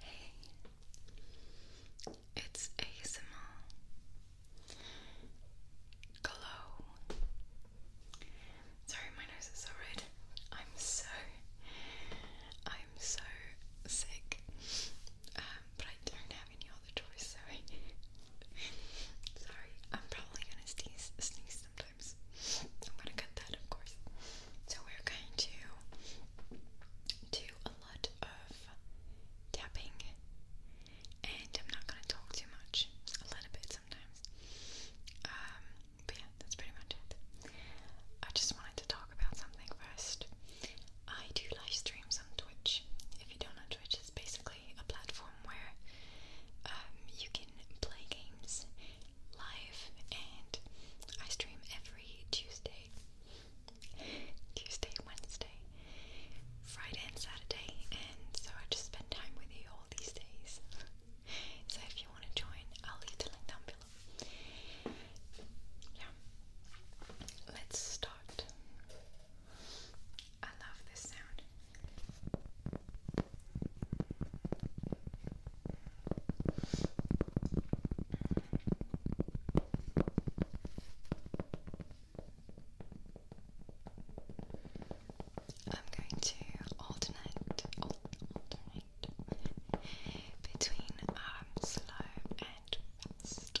Hey, it's ASMR Glow. Sorry, my nose is so red. I'm so, I'm so sick, um, but I don't have any other choice, so sorry, I'm probably gonna sneeze, sneeze sometimes. I'm gonna cut that, of course. So we're going to do a lot of tapping, and I'm not gonna talk too much, a little bit sometimes. Um, but yeah, that's pretty much it. I just wanted to talk about something first. I do live streams on Twitch. If you don't know, Twitch is basically a platform where um, you can play games live, and I stream every Tuesday Tuesday, Wednesday, Friday, and Saturday, and so I just spend time with you all these days. so if you want to join, I'll leave the link down below. Yeah, let's start. I love this sound. I'm going to alternate, alternate between um, slow and fast.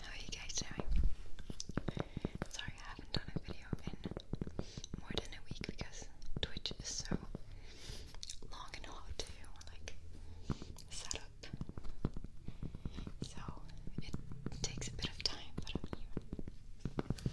How are you guys doing? Sorry, I haven't done a video in more than a week because Twitch is so long and hard to like set up. So it takes a bit of time, but I'm here.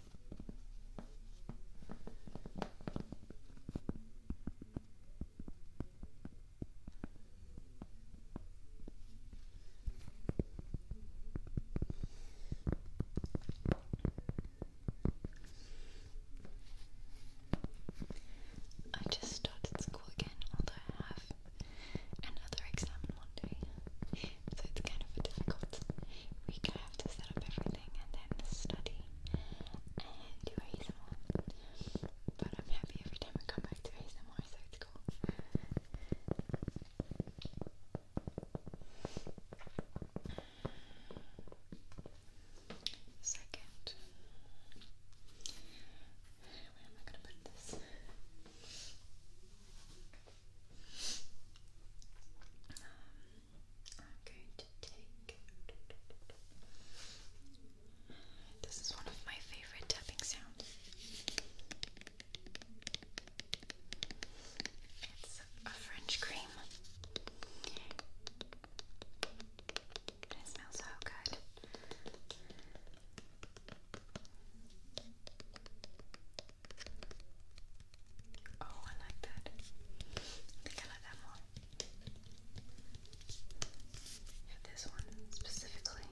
I just started school again, although I have another exam Monday, so it's kind of a difficult week. I have to set up everything and then study and do ASMR. But I'm happy every time I come back to ASMR, so it's cool. Second, where am I gonna put this? This is one of my favorite tapping sounds. It's a French cream. It smells so good. Oh, I like that. I think I like that more. Yeah, this one specifically.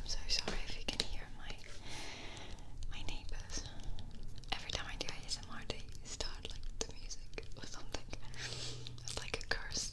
I'm so sorry if you can hear my my neighbors. Every time I do a ASMR, they start like the music or something. It's like a curse.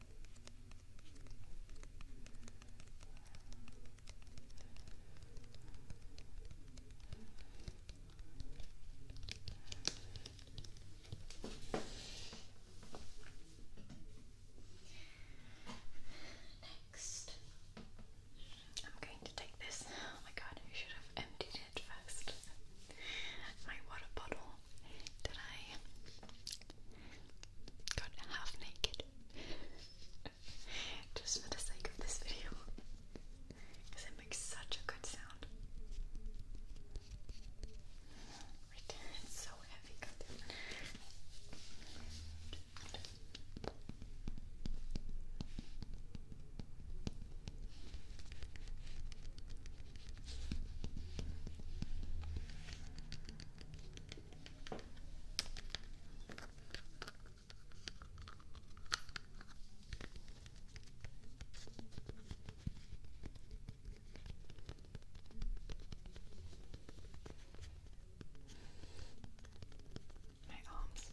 Next, I'm going to take this. Oh my god, I should have emptied it first. My water bottle that I gone half naked just for the sake of this video because it makes such a good sound. It's so heavy. My arms.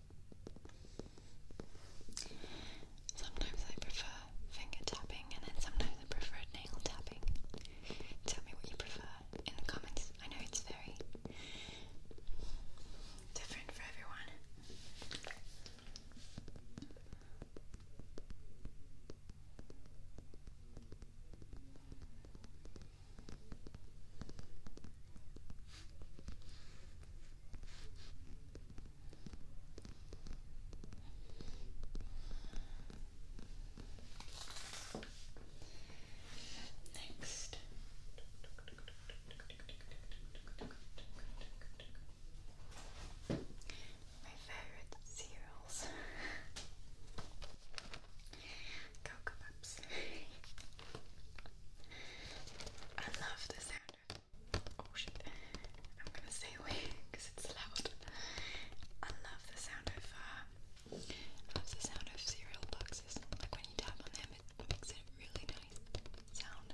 Sometimes I prefer finger tapping and then sometimes I prefer nail tapping. Tell me what you prefer in the comments. I know it's very different for everyone. Next. My favorite cereals. Cocoa Pops. I love the sound Oh shit. I'm gonna stay away because it's loud. I love the sound of uh, the sound of cereal boxes. Like when you tap on them, it makes a really nice sound.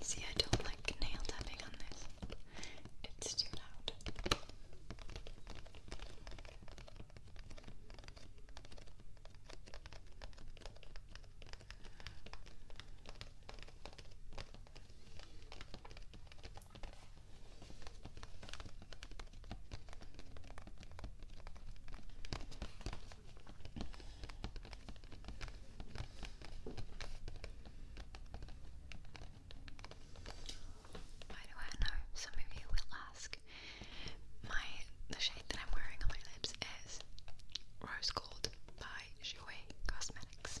See, I don't like nail tapping on this. It's too loud. Why do I Some of you will ask. My the shade that I'm wearing on my lips is Rose Gold by Jouer Cosmetics.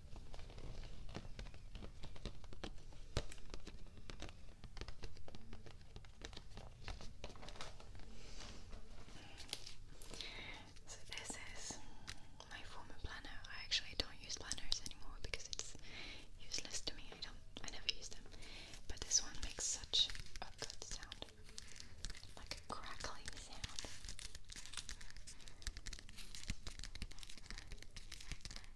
So this is my former planner. I actually don't use planners anymore because it's useless to me. I don't I never use them. But this one makes such a good sound. Like a crackling sound.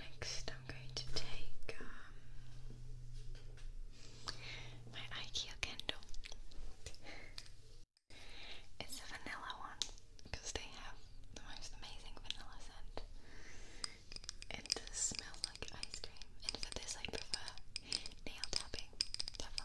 Next, I'm going to take um, my IKEA candle. It's a vanilla one because they have the most amazing vanilla scent. It does smell like ice cream, and for this I prefer nail tapping, definitely.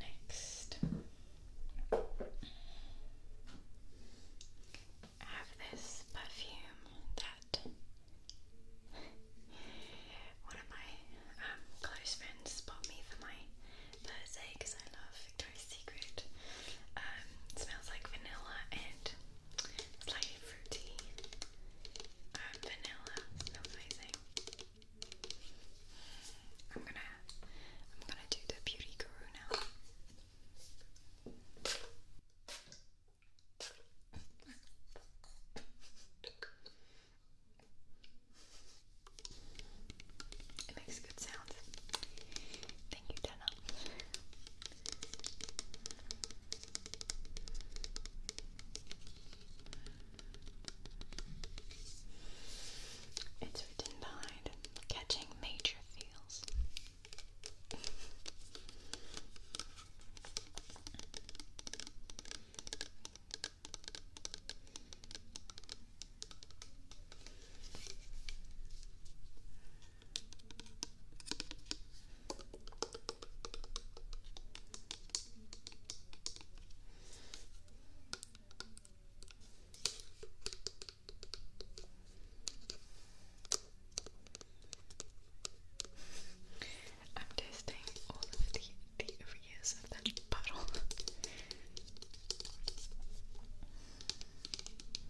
Next, I have this perfume that one of my um, close friends bought me for my birthday because I love Secret. Um, smells like vanilla and slightly fruity. Um, vanilla amazing. I'm gonna, I'm gonna do the beauty guru now. It makes good sounds. Thank you, Dana. It's written behind catching major feels. I'm testing all of the, areas of that bottle.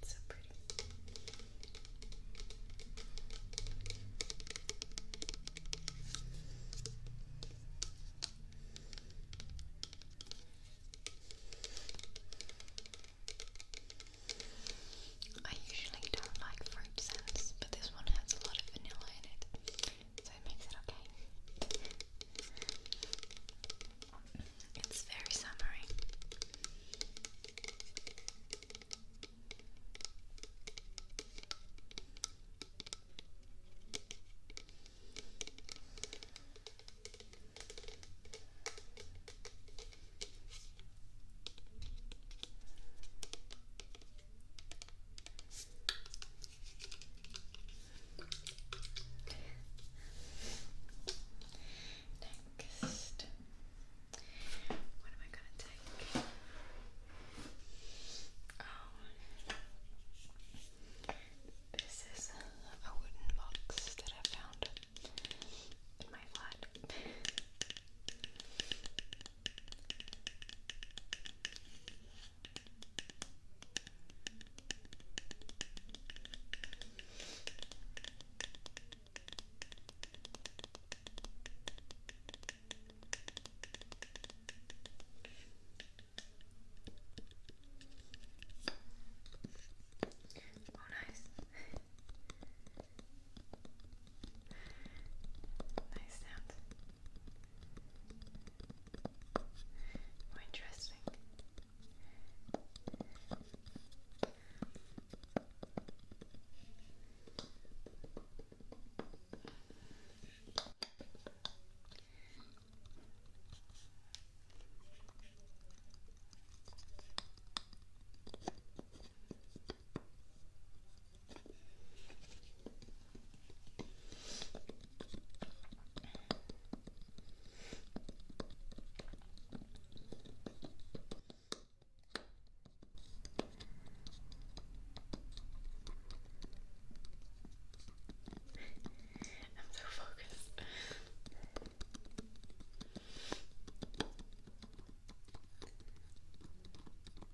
It's so pretty. I usually don't like fruit scents, but this one has a lot of vanilla in it so it makes it okay. It's very summery. Next, what am I gonna take? Oh, this is a wooden box that I found in my flat. Oh, nice. nice sound. More interesting. Okay. I'm so focused.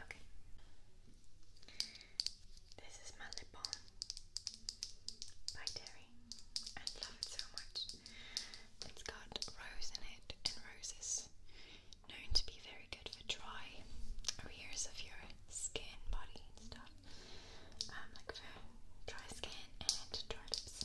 Okay. This is my lip balm by Terry. I love it so much. It's got rose in it and roses known to be very good for dry areas of your skin, body, and stuff. Um, like for dry skin and dry lips.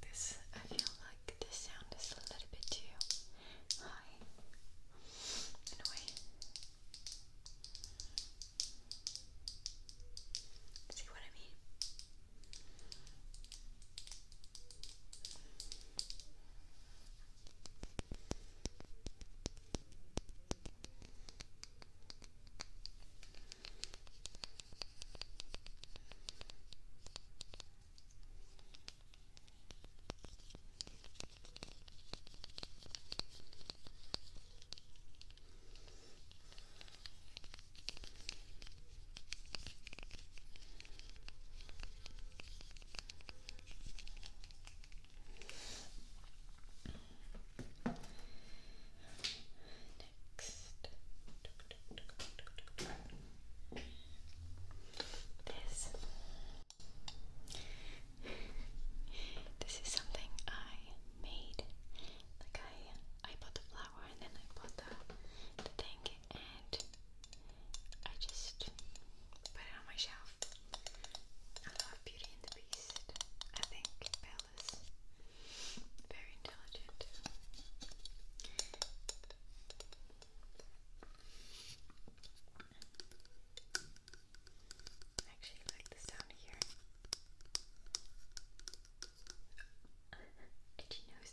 This, I feel like this sound is a little bit too high in a way. See what I mean? Okay. This. This is something I made like I I bought the flower and then I bought the, the thing and I just put it on my shelf. I love Beauty and the Beast. I think Belle is very intelligent actually like this down here. Itchy nose.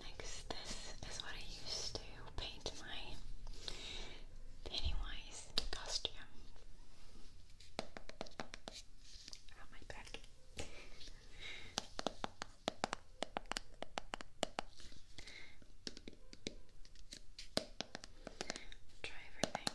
Next, this is what I used to paint my Pennywise costume. On my back. Try everything. Okay.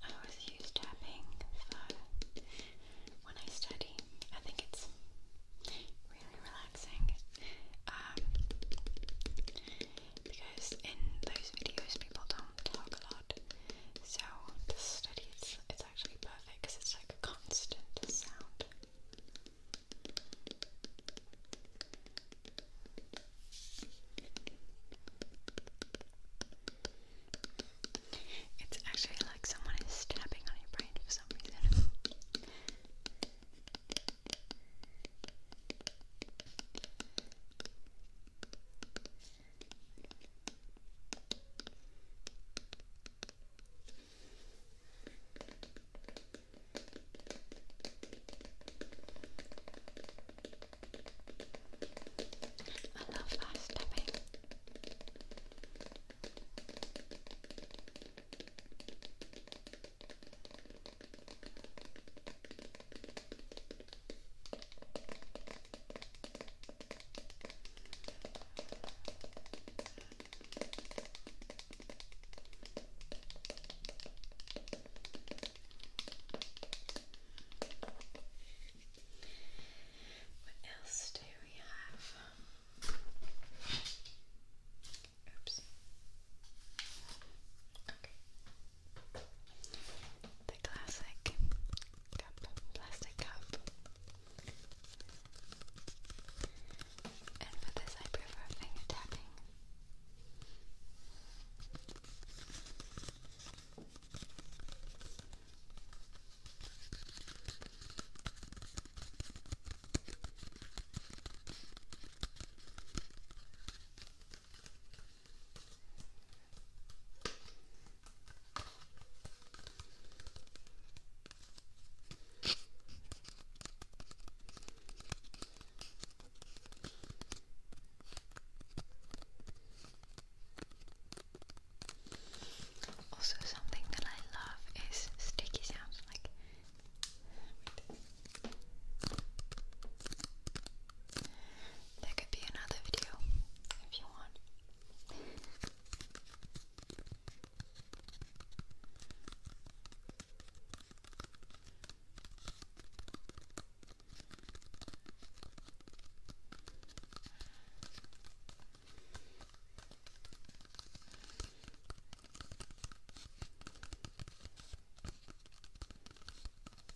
I always use tapping for when I study. I think it's really relaxing um, because in those videos people don't talk a lot so this study it's actually perfect because it's like a constant sound. It's actually like someone is tapping on your brain for some reason. I love fast tapping. What else do we have? Oops. Okay. The classic cup, plastic cup. And for this, I prefer finger tapping. Also, something that I love is sticky sounds like. There could be another video if you want.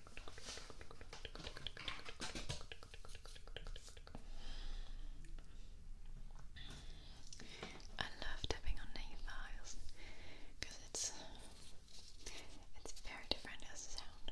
I love tapping on nail files because it's it's very different as a sound.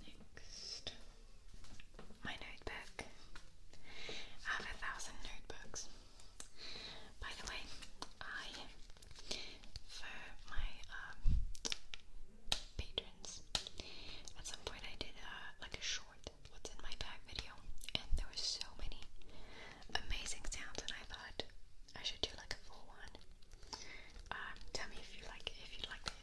Next, my notebook. I have a thousand notebooks. By the way, I for my um, patrons at some point I did uh, like a short "What's in my bag" video, and there were so many amazing sounds, and I thought I should do like a full one. Um, tell me if you like if you like it.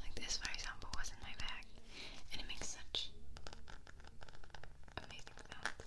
Like this, for example, was in my bag, and it makes such amazing sounds.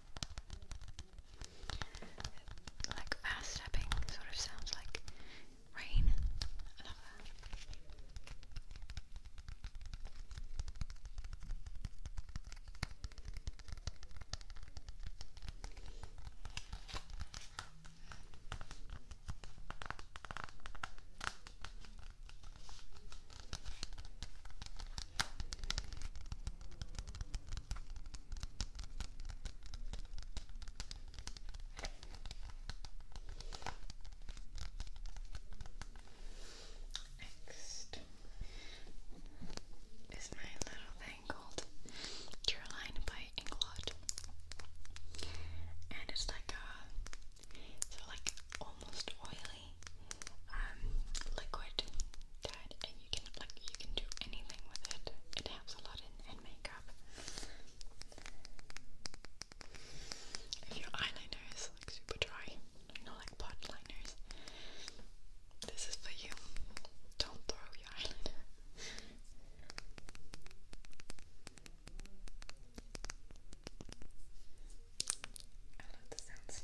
Like fast stepping sort of sounds like rain. I love that. Next is my little thing called Caroline by Inglot. And it's like a so like almost oily um, liquid that and you can like you can do anything with it. It helps a lot in, in makeup. If your eyeliner is like super dry, you know like pot liners, this is for you. Don't throw your eyeliner. I love the sounds.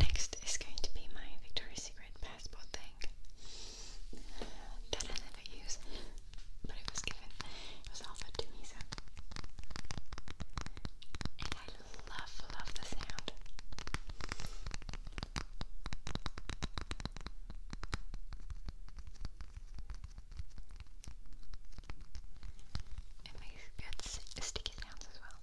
Next is going to be my Victoria's Secret passport thing that I never use, but it was given, it was offered to me, so. And I love, love the sound. It makes good sticky sounds as well.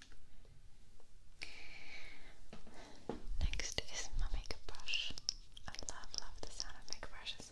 Next is makeup brush. I love, love the sound of makeup brushes.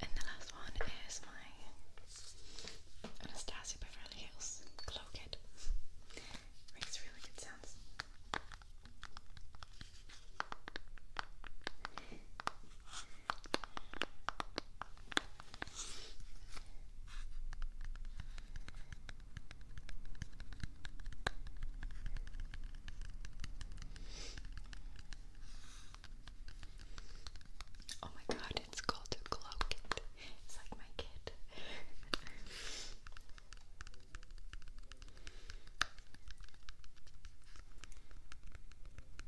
And the last one is my Anastasia Beverly Hills glow Makes really good sounds. Oh, my God, it's called a glow It's like my kit.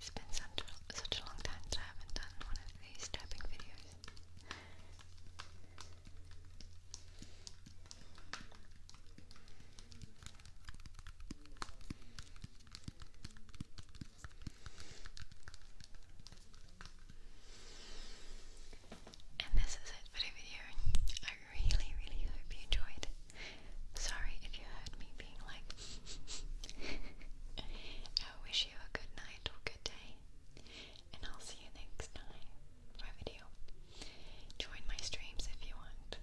It's been such a, long time that I haven't done one of these tapping videos. And this is it for the video. I really, really hope you enjoyed. Sorry if you heard me being like. I wish you a good night or good day, and I'll see you next time for a video. Join my streams if you want.